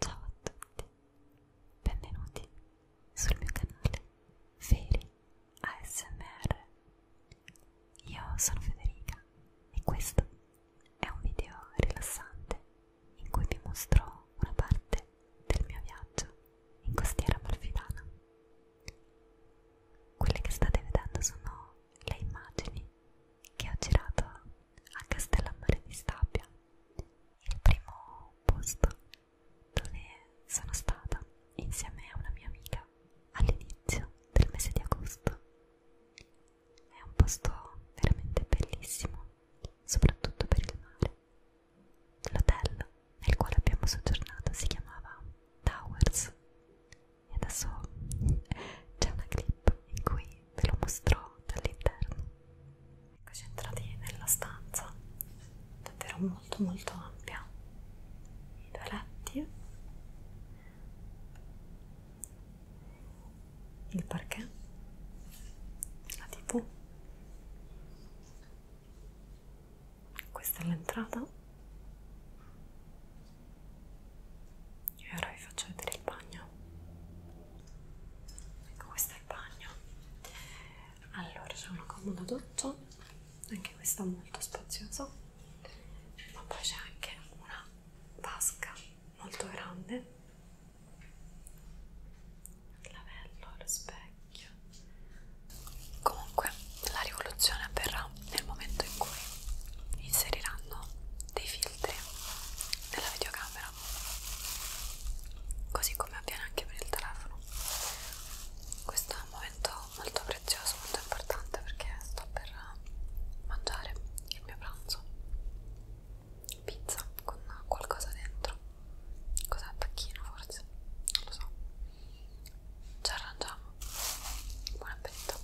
Ciao a tutti, benvenuti sul mio canale Feri ASMR. Io sono Federica e questo è un video rilassante in cui vi mostro una parte del mio viaggio in costiera malfidana. Quelle che state vedendo sono le immagini che ho girato a Castellammare di Stabia, il primo posto dove sono stata insieme a una mia amica all'inizio del mese di agosto. È un posto veramente bellissimo, soprattutto per il mare L'hotel nel quale abbiamo soggiornato si chiamava Towers e adesso c'è una clip in cui ve lo mostrò dall'interno. Eccoci entrati nella stanza, davvero molto molto ampia, i due letti, il parquet, la tv questa è l'entrata e ora vi faccio vedere il bagno ecco questo è il bagno allora c'è una comoda doccia anche questa molto spaziosa ma poi c'è anche una vasca molto grande il lavello, lo specchio Comunque, la rivoluzione avverrà nel momento in cui inseriranno dei filtri nella videocamera, così come avviene anche per il telefono. Questo è un momento molto prezioso, molto importante perché sto per mangiare il mio pranzo pizza con qualcosa dentro cos'è tacchino forse non lo so ci arrangiamo buon appetito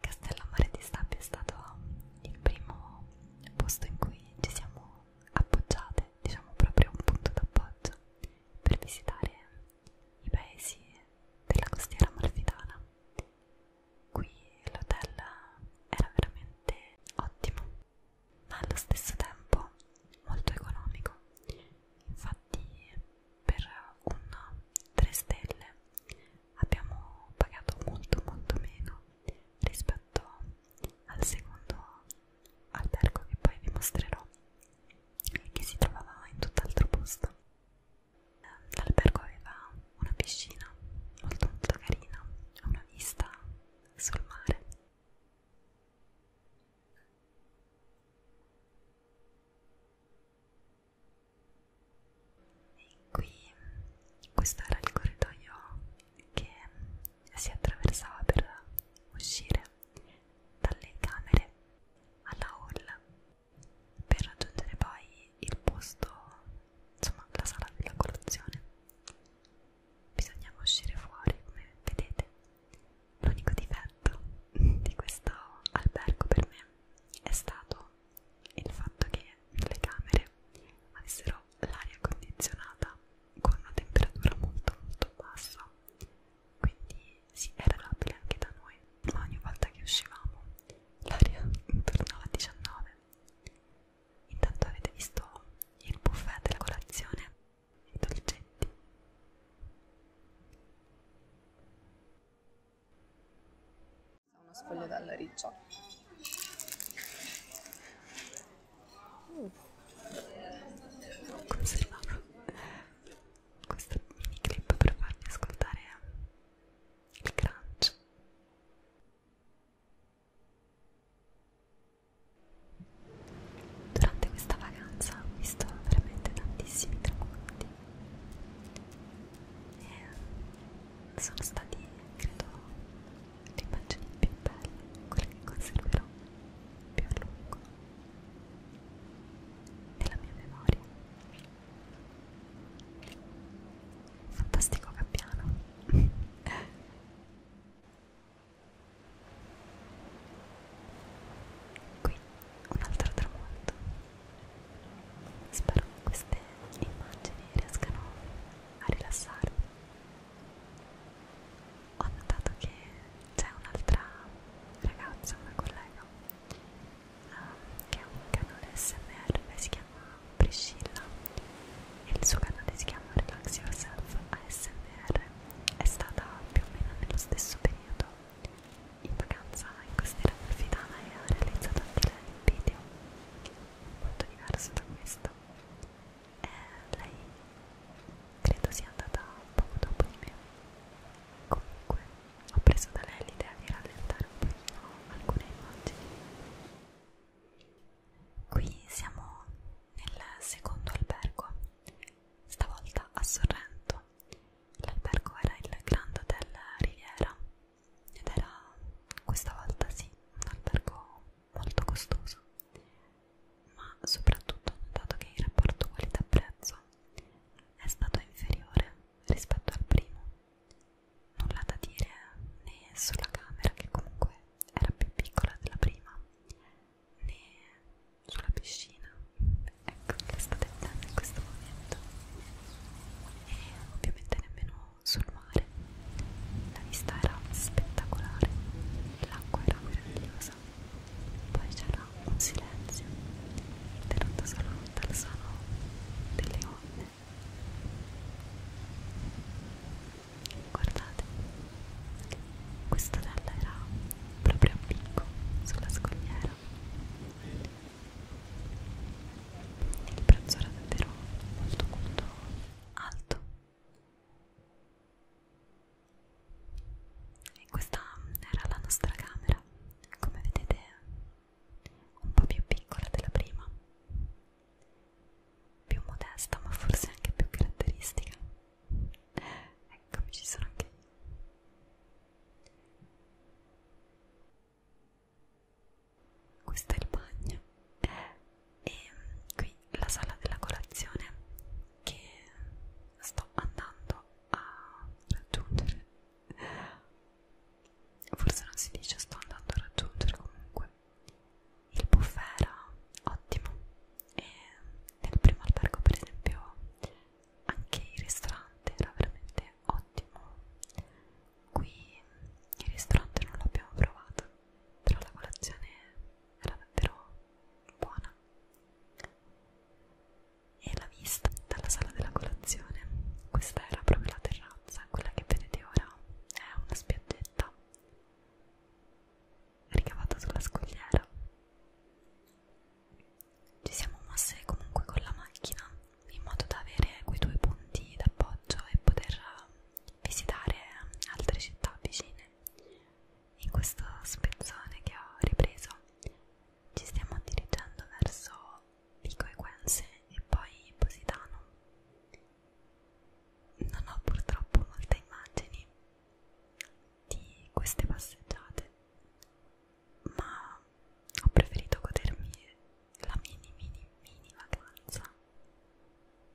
Castellammare di Stabia è stato il primo posto in cui ci siamo appoggiate, diciamo proprio un punto d'appoggio per visitare i paesi della costiera amalfitana. Qui l'hotel era veramente ottimo, ma allo stesso tempo molto economico. Infatti per un 3 stelle abbiamo pagato molto molto meno rispetto al secondo albergo che poi vi mostrerò e che si trovava in tutt'altro posto l'albergo aveva una piscina molto molto carina una vista sul mare e qui questo era il corridoio che si attraversava per uscire dalle camere alla hall per raggiungere poi il posto, insomma la sala della colazione. Bisognava uscire fuori, come vedete. L'unico difetto di questo albergo per me è stato il fatto che le camere avessero l'aria condizionata con una temperatura molto molto bassa quindi sì, era labile anche da noi ma ogni volta che uscivamo l'aria tornava a 19 intanto avete visto il buffet della colazione e i dolcetti una sfoglia dalla riccia. Mm. Conservavo questo mini clip per farvi ascoltare il crunch. Durante questa vacanza ho visto veramente tantissimi tramonti e eh, sono stati credo le immagini più belle quelle che conserverò più a lungo nella mia memoria fantastico cappiano qui un altro tramonto spero che queste immagini riescano a rilassarvi ho notato che c'è un'altra ragazza una collega um, che ha un canale smr si chiama Priscilla e il suo canale si chiama Relax Yourself ASMR è stata più o meno nello stesso periodo in vacanza in costiera porfitana e ha realizzato anche lei un video molto diverso da questo. E lei credo sia andata poco dopo di me. Comunque ho preso da lei l'idea di rallentare un pochino alcune immagini. Qui siamo nel secondo albergo, stavolta a Sorrento l'albergo era il Grand Hotel Riviera ed era questa volta sì un albergo molto costoso ma soprattutto ho notato che il rapporto qualità prezzo è stato inferiore rispetto al primo nulla da dire né sulla camera che comunque era più piccola della prima né sulla piscina ecco che sto tentando in questo momento e ovviamente nemmeno sul mare la vista era spettacolare l'acqua era meravigliosa poi c'era un silenzio tenuto solo dal suono delle onde guardate questa tela era proprio a picco sulla scogliera. Il prezzo era davvero molto molto alto. E questa era la nostra camera, come vedete un po' più piccola della prima, più modesta ma forse anche più caratteristica. Eccomi, ci sono anche io. Questo è il bagno e qui la sala della colazione che sto andando a raggiungere. Forse non si dice sto andando a raggiungere comunque. Il buffet era ottimo e nel primo albergo per esempio anche il ristorante era veramente ottimo qui il ristorante non l'abbiamo provato però la colazione era davvero buona e la vista dalla sala della colazione questa era proprio la terrazza quella che vedete ora è una spiaggetta ricavato sulla scogliera. Ci siamo mosse comunque con la macchina in modo da avere quei due punti d'appoggio e poter eh, visitare altre città vicine. In questo spezzone che ho ripreso ci stiamo dirigendo verso Vico Equense e poi Positano. Non ho purtroppo molte immagini di queste passeggiate, ma ho preferito godermi la mini mini mini vacanza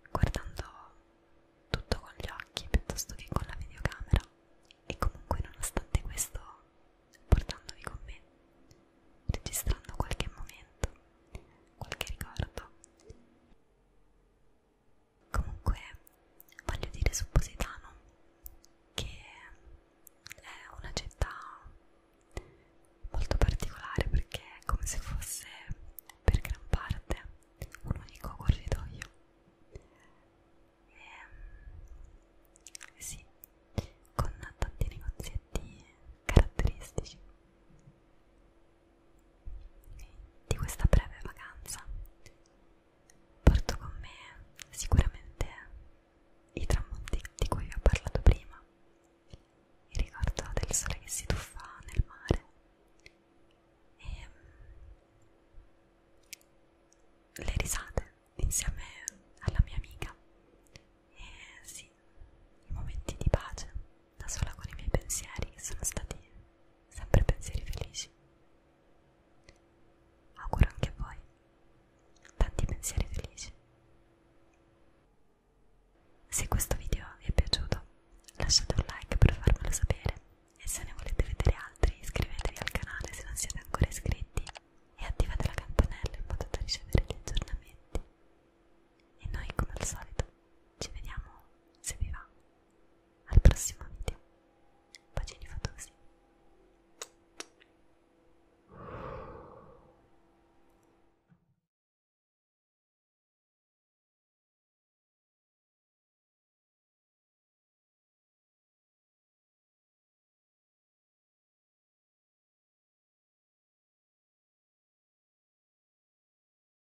guardando tutto con gli occhi piuttosto che con la videocamera e comunque nonostante questo portandovi con me registrando qualche momento qualche ricordo Comunque, voglio dire su Positano che è una città molto particolare perché è come se fosse per gran parte un unico corridoio. E, ehm, sì, con tanti negozietti caratteristici di questa breve vacanza porto con me sicuramente i tramonti di cui vi ho parlato prima, il ricordo del sole che si tuffa nel mare e ehm, le risate insieme alla mia amica e sì, i momenti di pace da sola con i miei pensieri, che sono stati sempre pensieri felici. Auguro anche a voi tanti pensieri felici. Se questo video vi è piaciuto, lasciate un like per farmelo sapere e se ne volete vedere altri iscrivetevi al canale se non siete ancora iscritti e attivate la campanella in modo da ricevere gli aggiornamenti. E noi come al solito ci vediamo se vi va al prossimo video bacini fatosi